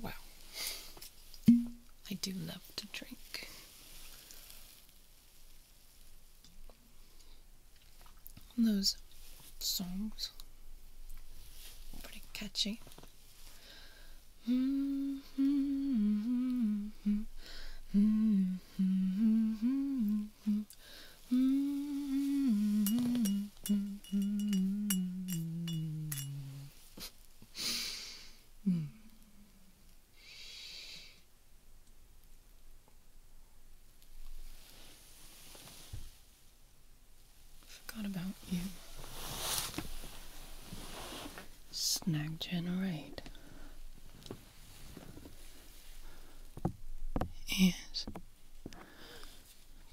Wow. I do love to drink. those songs pretty catchy. Mm-hmm. Mm-hmm. Mm-hmm mm. Forgot about you. Snag generate is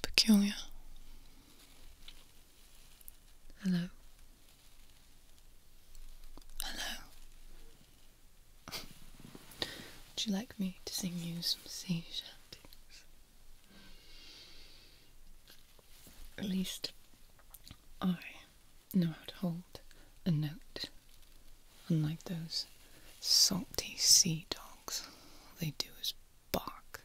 peculiar Hello. Hello. Would you like me to sing you some sea shanties? At least I know how to hold a note, unlike those salty sea dogs. All they do is bark.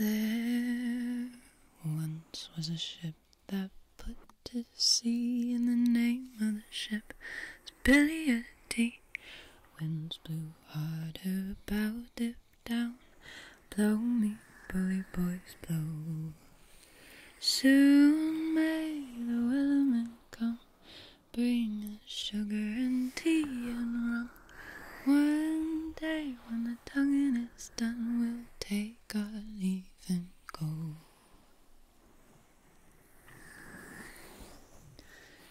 There once was a ship that put to sea in the name of the ship Billy Spiliety. Winds blew harder, her bow, dip down, blow me, bully boys, blow. Soon may the women come, bring us sugar and tea and rum. One day when the tonguing is done, we'll take our leave and go.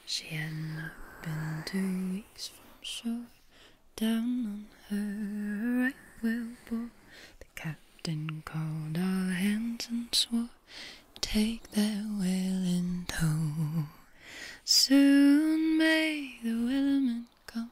She hadn't been two weeks from shore, down on her right whale bore. The captain called our hands and swore, take that whale in tow. Soon may the whaleman come,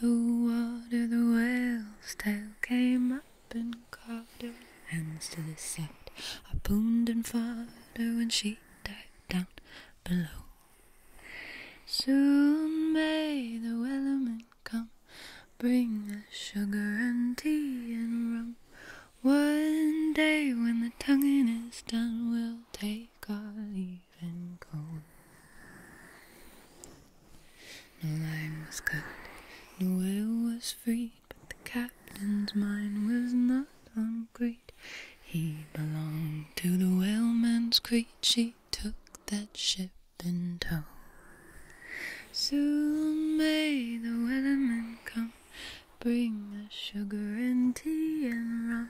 the water, the whale's tail came up and caught her hands to the side. I boomed and fought her when she dived down below. Soon may the wellerman come, bring the sugar and tea and rum. One day when the tonguing is done, we'll take our leave. The line was cut, no whale was freed, but the captain's mind was not on Crete. He belonged to the whaleman's creed. she took that ship in tow. Soon may the weatherman come, bring the sugar and tea and rum.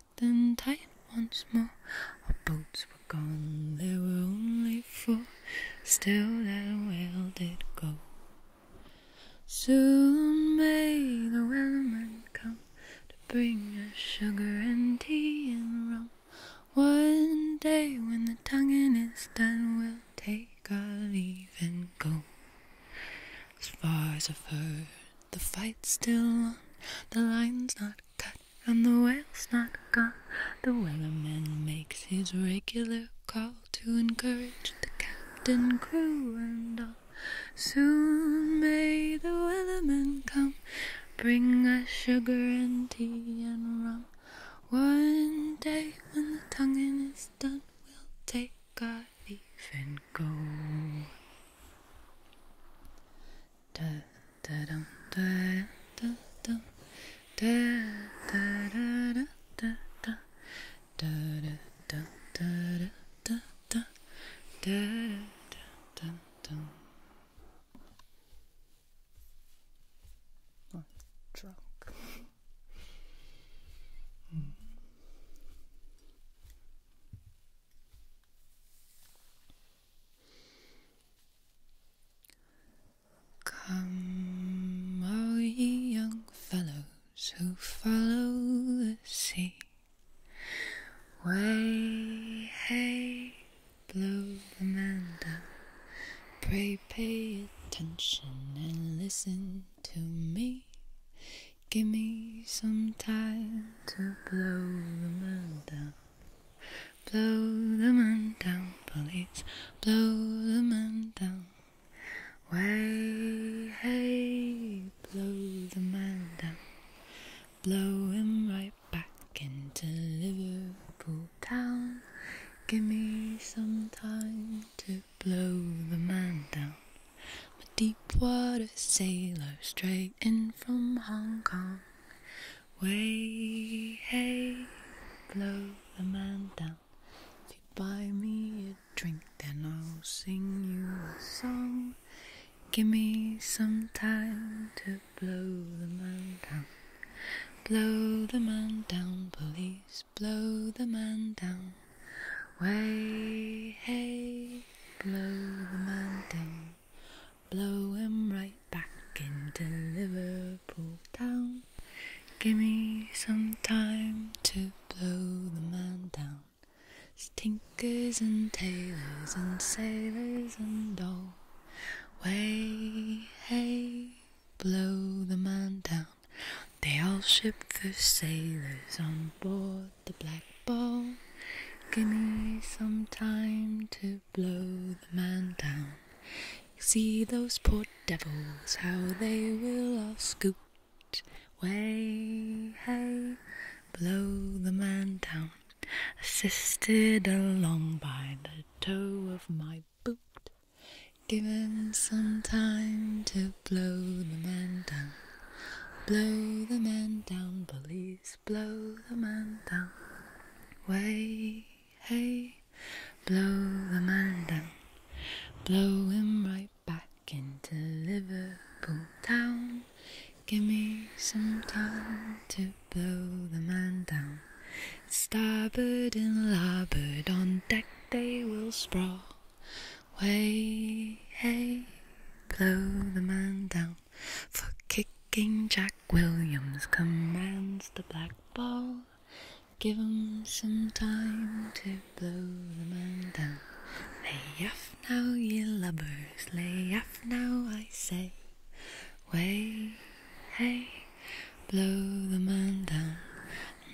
then tight once more. Our boats were gone, there were only four. Still that whale did go. Soon may the whaleman come to bring us sugar and tea and rum. One day when the tonguing is done, we'll take our leave and go as far as I've the fight's still on, the line's not cut, and the whale's not gone. The whaleman makes his regular call to encourage the captain, crew, and all. Soon may the whaleman come, bring us sugar and tea and rum. One day when the tonguing is done, we'll take our not even go. Come, all ye young fellows who follow the sea, way, hey, blow the man Pray, pay attention and listen to me. Give me some time to blow the man down. Blow the man down, police. Blow the man down. Way, hey, blow the man down. Blow him right back into Liverpool town. Give me some time to blow the man down. i deep water sailor straight in from Hong Kong. Way, hey, blow the man down. If you buy me a drink, then I'll sing you a song. Give me some time to blow the man down. Blow the man down, police, blow the man down way. Hey, blow the man down, blow him right back into Liverpool town. Give me some time to blow the man down. Stinkers and tailors and sailors and all. Way, hey, blow the man down. They all shipped the sailors on board the Black Ball. Give me some time to blow the man down. See those poor devils, how they will all scoot. Way, hey, blow the man down. Assisted along by the toe of my boot. Give him some time to blow the man down. Blow the man down, police, blow the man down. Way, hey, blow the man down. Blow him right back into Liverpool town. Give me some time to blow the man down. Starboard and larboard on deck they will sprawl way. Hey, blow the man down for kicking Jack Williams. Commands the black ball. Give 'em some time to blow the man down. Lay off now, ye lubbers. Lay off now, I say. Way, hey, blow the man down.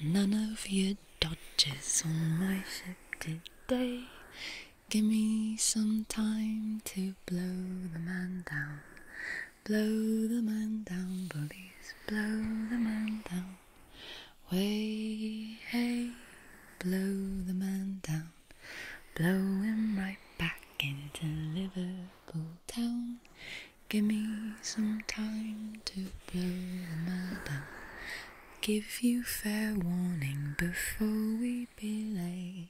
None of you Dodges on my fifty day. Give me some time to blow the man down. Blow the man down, bullies. Blow the man down. Way, hey, blow the man down. Blow him right back into Liverpool. Give me some time to blow the man down. Give you fair warning before we belay.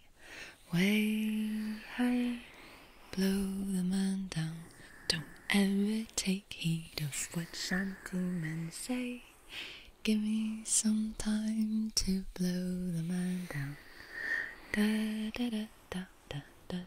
Way high, blow the man down. Don't ever take heed of what men say. Give me some time to blow the man down. Da da da da da da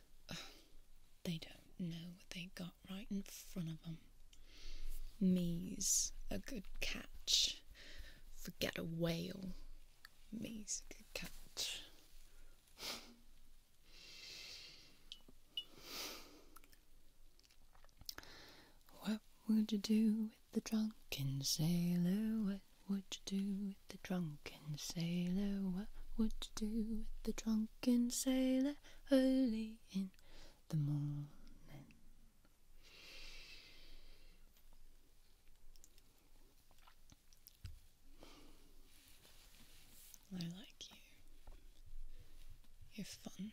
They don't know what they got right in front of them. Me's a good catch. Forget a whale. Me's a good catch. What would you do with the drunken sailor? What would you do with the drunken sailor? What would you do with the drunken drunken sailor early in the morning. I like you. You're fun.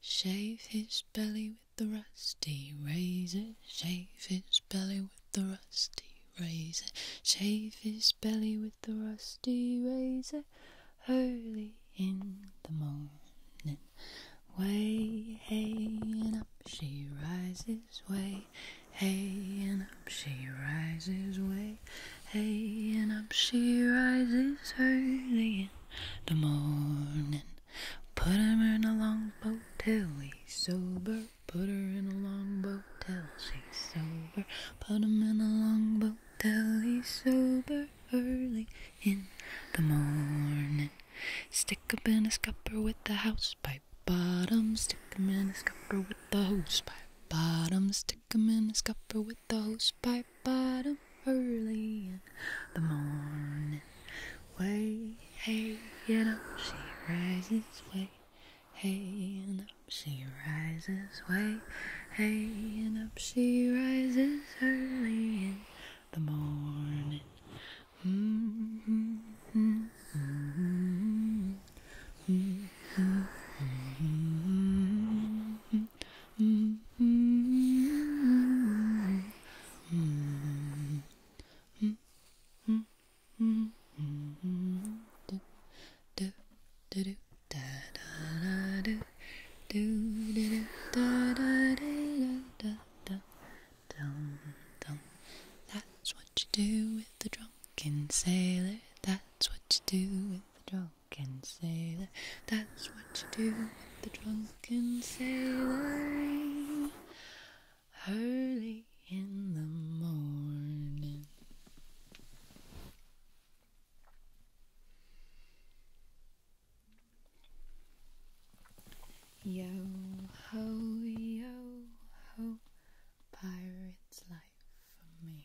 Shave his belly the rusty razor, shave his belly with the rusty razor, shave his belly with the rusty razor early in the morning. Way hey up she rises, way hey up she rises, way hey up she rises early in the morning. Put 'em in a long boat till he's sober. Put her in a long boat till she's sober. Put 'em in a long boat till he's sober early in the morning. Stick 'em in a scupper with the house pipe bottom. Stick 'em in a scupper with the hose pipe bottom. Stick 'em in a scupper with the hose pipe bottom early in the morning. Way, hey, and up she rises. Way, hey, and up she rises. Way, hey, and up she rises early in the morning. Mm-hmm, mm-hmm, mm-hmm, Mm-hmm. That's what you do with a drunken sailor. That's what you do with the drunken sailor. That's what you do with the drunken sailor early in the morning. Yo ho, yo ho, pirate's life for me.